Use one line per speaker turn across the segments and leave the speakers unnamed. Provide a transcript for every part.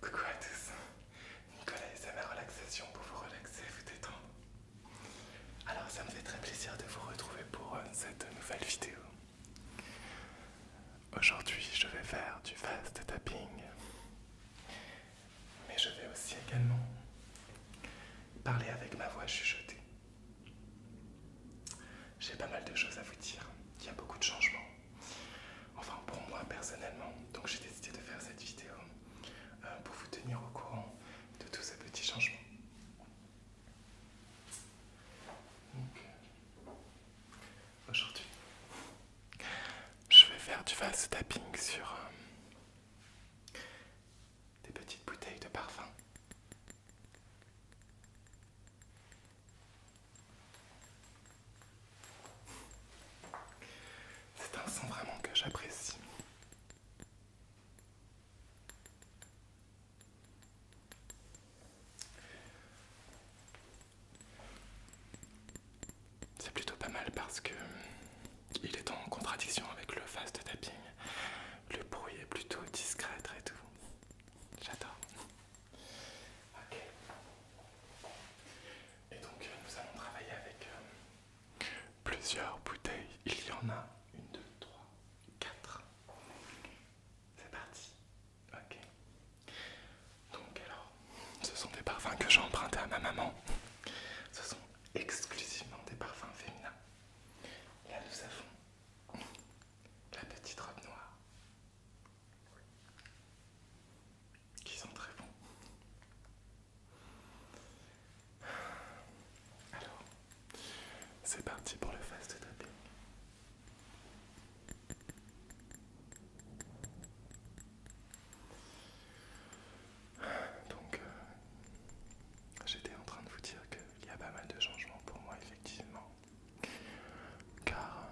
Coucou à tous, Nicolas et sa ma relaxation pour vous relaxer, vous détendre. Alors ça me fait très plaisir de vous retrouver pour euh, cette nouvelle vidéo. Aujourd'hui je vais faire du fast tapping, mais je vais aussi également parler avec ma voix chuchotée. J'ai pas mal de choses à vous dire, il y a beaucoup de changements. Enfin pour moi personnellement, donc j'ai décidé de faire cette vidéo euh, pour vous tenir au courant de tous ces petits changements. Aujourd'hui, je vais faire du fast tapping sur euh, des petites bouteilles de parfum. C'est un son vraiment que j'apprécie. C'est plutôt pas mal parce que il est en contradiction avec le fast tapping. Le bruit est plutôt discret et tout. J'adore. Ok. Et donc euh, nous allons travailler avec euh, plusieurs bouteilles. Il y en a une, deux, trois, quatre. C'est parti. Ok. Donc alors, ce sont des parfums que j'ai empruntés à ma maman. Ce sont exclusivement des parfums féminins. Là nous avons la petite robe noire qui sont très bons. Alors, c'est parti pour le fast tapping. Donc, euh, j'étais en train de vous dire qu'il y a pas mal de changements pour moi, effectivement. Car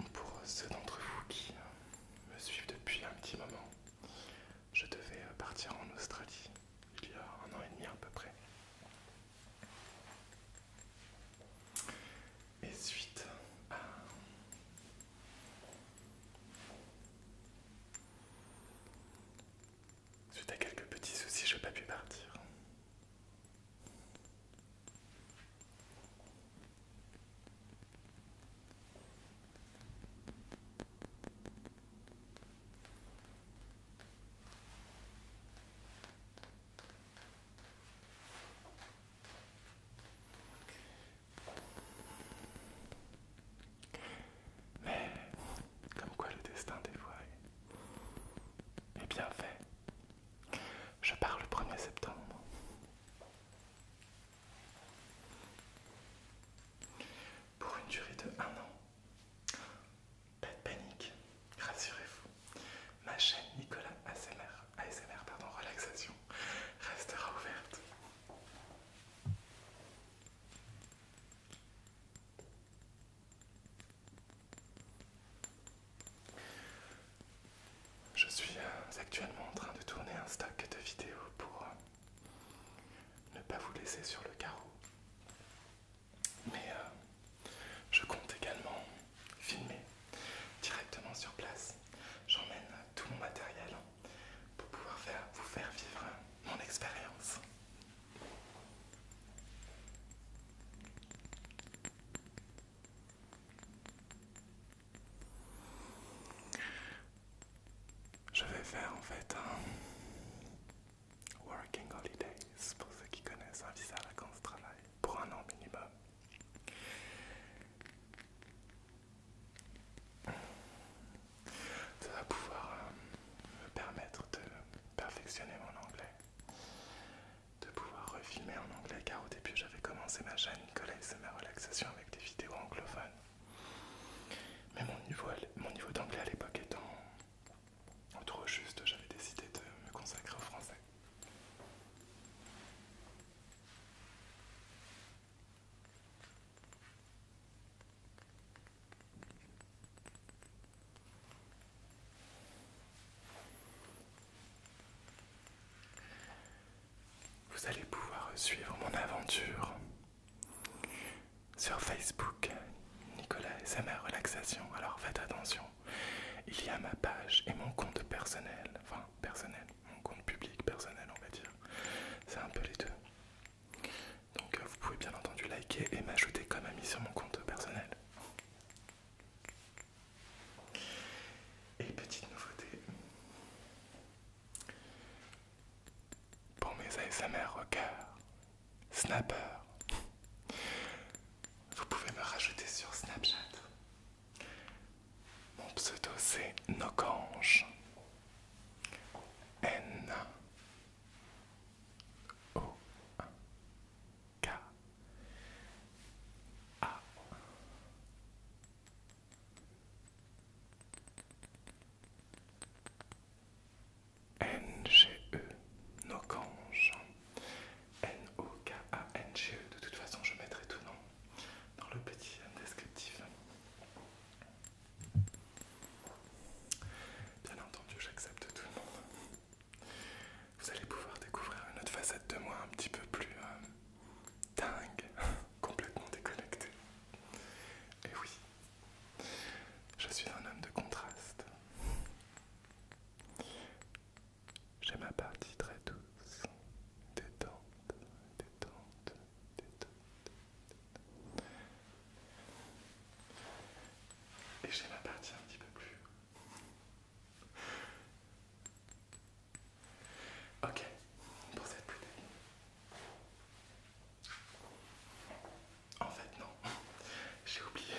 euh, pour ceux d'entre vous qui me suivent depuis un petit moment, je devais euh, partir en Australie il y a un an et demi à peu près. Et suite à Suite à quelques petits soucis, je n'ai pas pu partir. Mais comme quoi le destin des voix est, bien fait. Je pars le 1er septembre. Pour une durée de un an. Pas de panique, rassurez-vous. Ma chaîne Nicolas ASMR, ASMR pardon, relaxation restera ouverte. Je suis euh, actuellement en train de tourner un stock de vidéos pour euh, ne pas vous laisser sur le carreau. Mais euh, je compte également filmer directement sur place. J'emmène tout mon matériel pour pouvoir vous faire vivre mon expérience. Je vais faire en fait un Working Holidays pour ceux qui connaissent un visa vacances travail pour un an minimum ça va pouvoir euh, me permettre de perfectionner mon anglais, de pouvoir refilmer en anglais car au début j'avais commencé ma chaîne Nicolas et ma relaxation avec des vidéos anglophones. Mais mon mon niveau d'anglais à l'époque étant trop juste, j'avais décidé de me consacrer au français. Vous allez pouvoir suivre mon aventure sur Facebook, Nicolas SMR Relaxation. Alors faites attention, il y a ma page et mon compte personnel, enfin personnel, mon compte public personnel on va dire. C'est un peu les deux. Donc euh, vous pouvez bien entendu liker et m'ajouter comme ami sur mon compte personnel. Et petite nouveauté. Pour mes ASMR rockers, snapper, vous pouvez me rajouter sur Snapchat. Mon pseudo c'est Nocange. N O K A N G E Nokange N O K A N G E de toute façon je mettrai tout nom dans le petit descriptif Bien entendu, j'accepte tout le monde. Vous allez pouvoir découvrir une autre facette de moi un petit peu plus euh, dingue, complètement déconnectée. Et oui, je suis un homme de contraste. J'ai ma partie très douce, détente, détente, détente, et j'ai ma partie un petit peu plus. Ok, pour cette bouteille. En fait, non, j'ai oublié.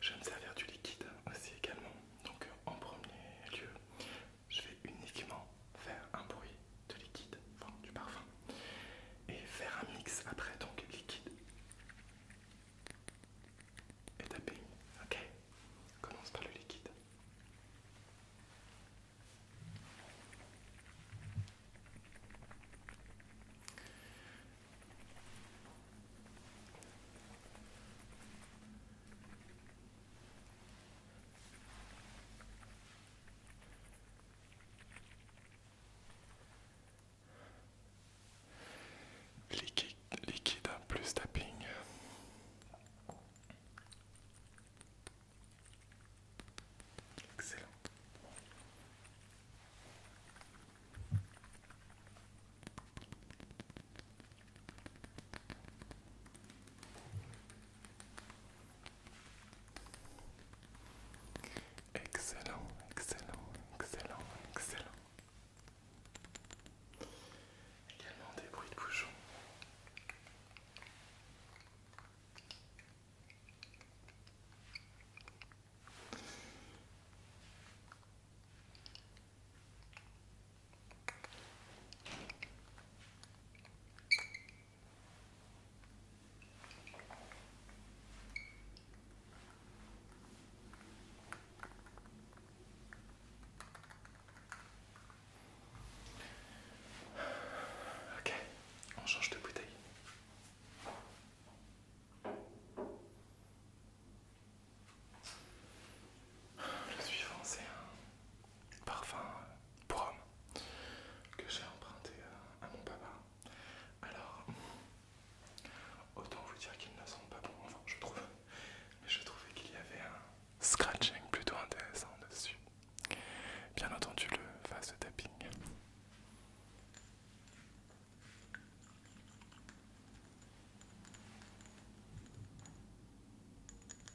Je vais me servir du liquide aussi également. Donc, en premier lieu, je vais uniquement faire un bruit de liquide, enfin du parfum, et faire un mix après, donc liquide et tapping. Ok Commence par le liquide. Liquide, plus tapping. Excellent. Excellent, excellent, excellent, excellent. Également des bruits de bouchons. Ok, on change de bouteille. Je suis français parfum euh, pour homme que j'ai emprunté euh, à mon papa. Alors, autant vous dire qu'ils ne sont pas bon, enfin je trouve, mais je trouvais qu'il y avait un scratching plutôt intéressant dessus. Bien entendu, le face tapping.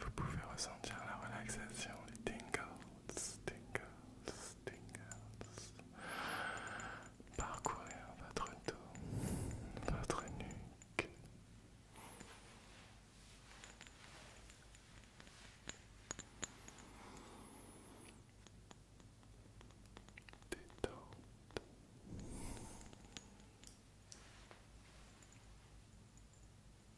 vous pouvez ressentir la relaxation, les tingles, tingles, tingles, parcourir votre dos, votre nuque.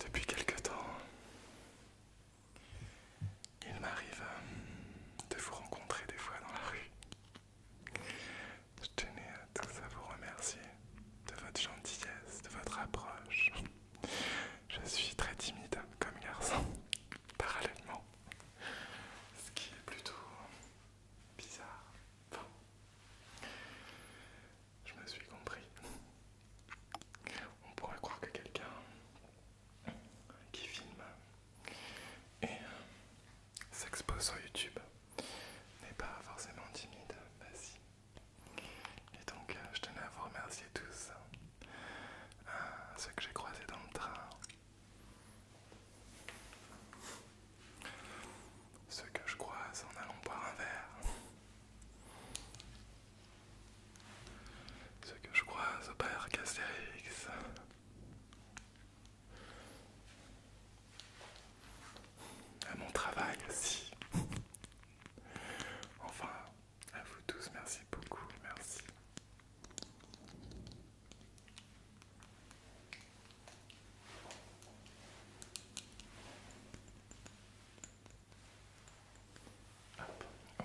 Depuis quelque temps, il m'arrive de vous rencontrer des fois dans la rue. Je tenais à tous à vous remercier de votre gentillesse, de votre approche. Je suis très timide comme garçon, parallèlement. Ce qui est plutôt bizarre. Enfin, je me suis compris. On pourrait croire que quelqu'un qui filme et s'expose sur YouTube n'est pas forcément timide, bah si. Et donc euh, je tenais à vous remercier tous, hein. euh, ceux que j'ai croisés dans le train, ceux que je croise en allant boire un verre, ceux que je croise au Père Castérix à mon travail aussi. Enfin, à vous tous, merci beaucoup, merci.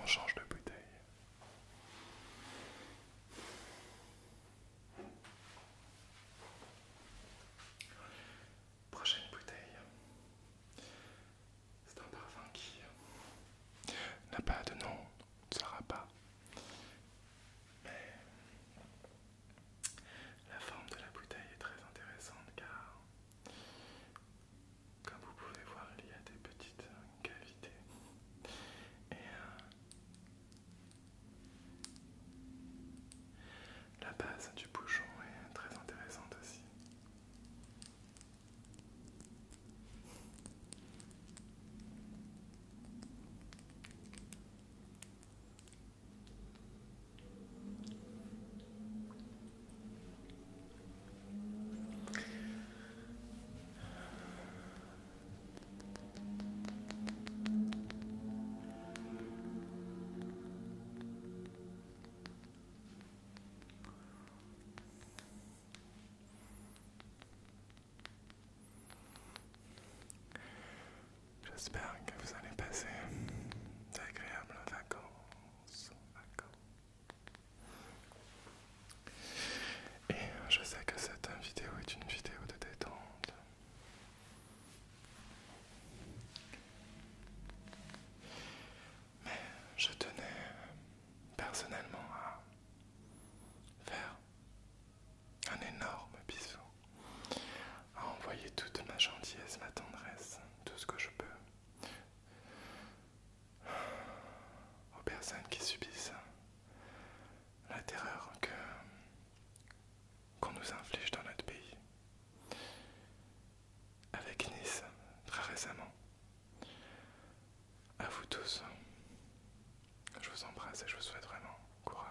on change de bouteille. Prochaine bouteille. C'est un parfum qui euh, n'a pas de nom, ne sera pas. Mais la forme de la bouteille est très intéressante car, comme vous pouvez voir, il y a des petites cavités. Et euh, la base du bouchon est très intéressante aussi. J'espère que vous allez passer d'agréables vacances, et je sais que cette vidéo est une vidéo de détente. Mais je tenais personnellement à faire un énorme bisou, à envoyer toute ma gentillesse, ma tendresse, tout ce que je peux aux personnes qui subissent la terreur qu'on nous inflige dans notre pays. Avec Nice, très récemment. À vous tous, je vous embrasse et je vous souhaite vraiment courage.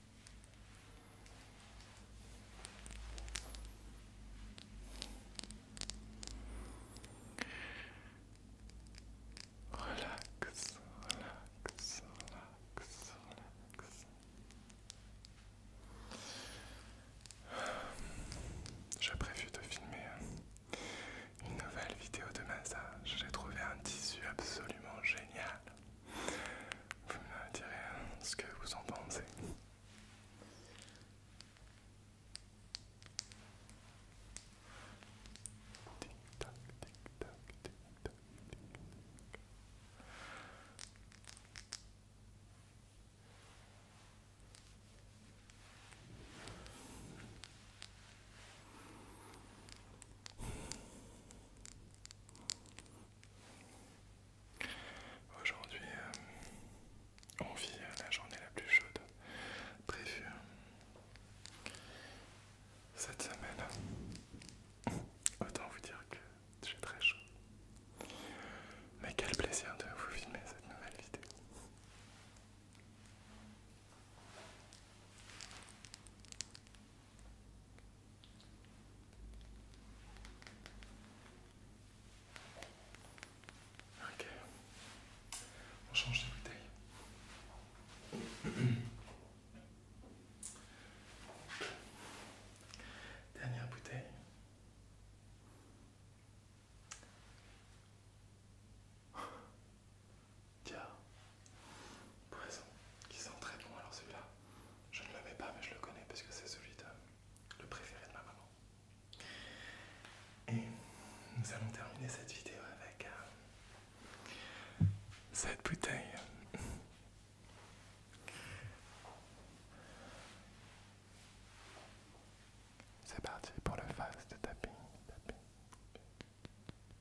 Relax, relax, relax, relax. J'ai prévu de filmer une nouvelle vidéo de massage. J'ai trouvé un tissu absolument génial vous me direz hein, ce que vous en pensez. Aujourd'hui, euh, on vit euh, la journée la plus chaude prévue hein. cette semaine. Autant vous dire que j'ai très chaud. Mais quel plaisir de vous filmer cette nouvelle vidéo. Ok. On change de bouteille. Dernière bouteille. Tiens poison qui sent très bon. Alors celui-là, je ne l'avais pas, mais je le connais parce que c'est celui de le préféré de ma maman. Et nous allons terminer cette vidéo avec euh, cette bouteille. C'est parti pour le fast de tapping.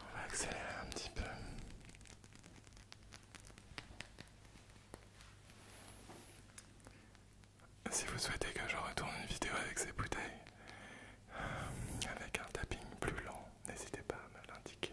On va accélérer un petit peu. Si vous souhaitez que je retourne une vidéo avec ces bouteilles, avec un tapping plus lent, n'hésitez pas à me l'indiquer.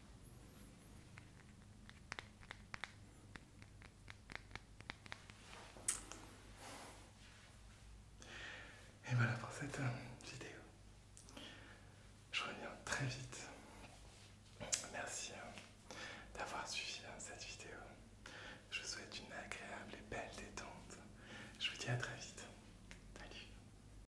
Et voilà pour cette euh, vidéo. Je reviens très vite. Merci euh, d'avoir suivi euh, cette vidéo. Je vous souhaite une agréable et belle détente. Je vous dis à très vite. Salut.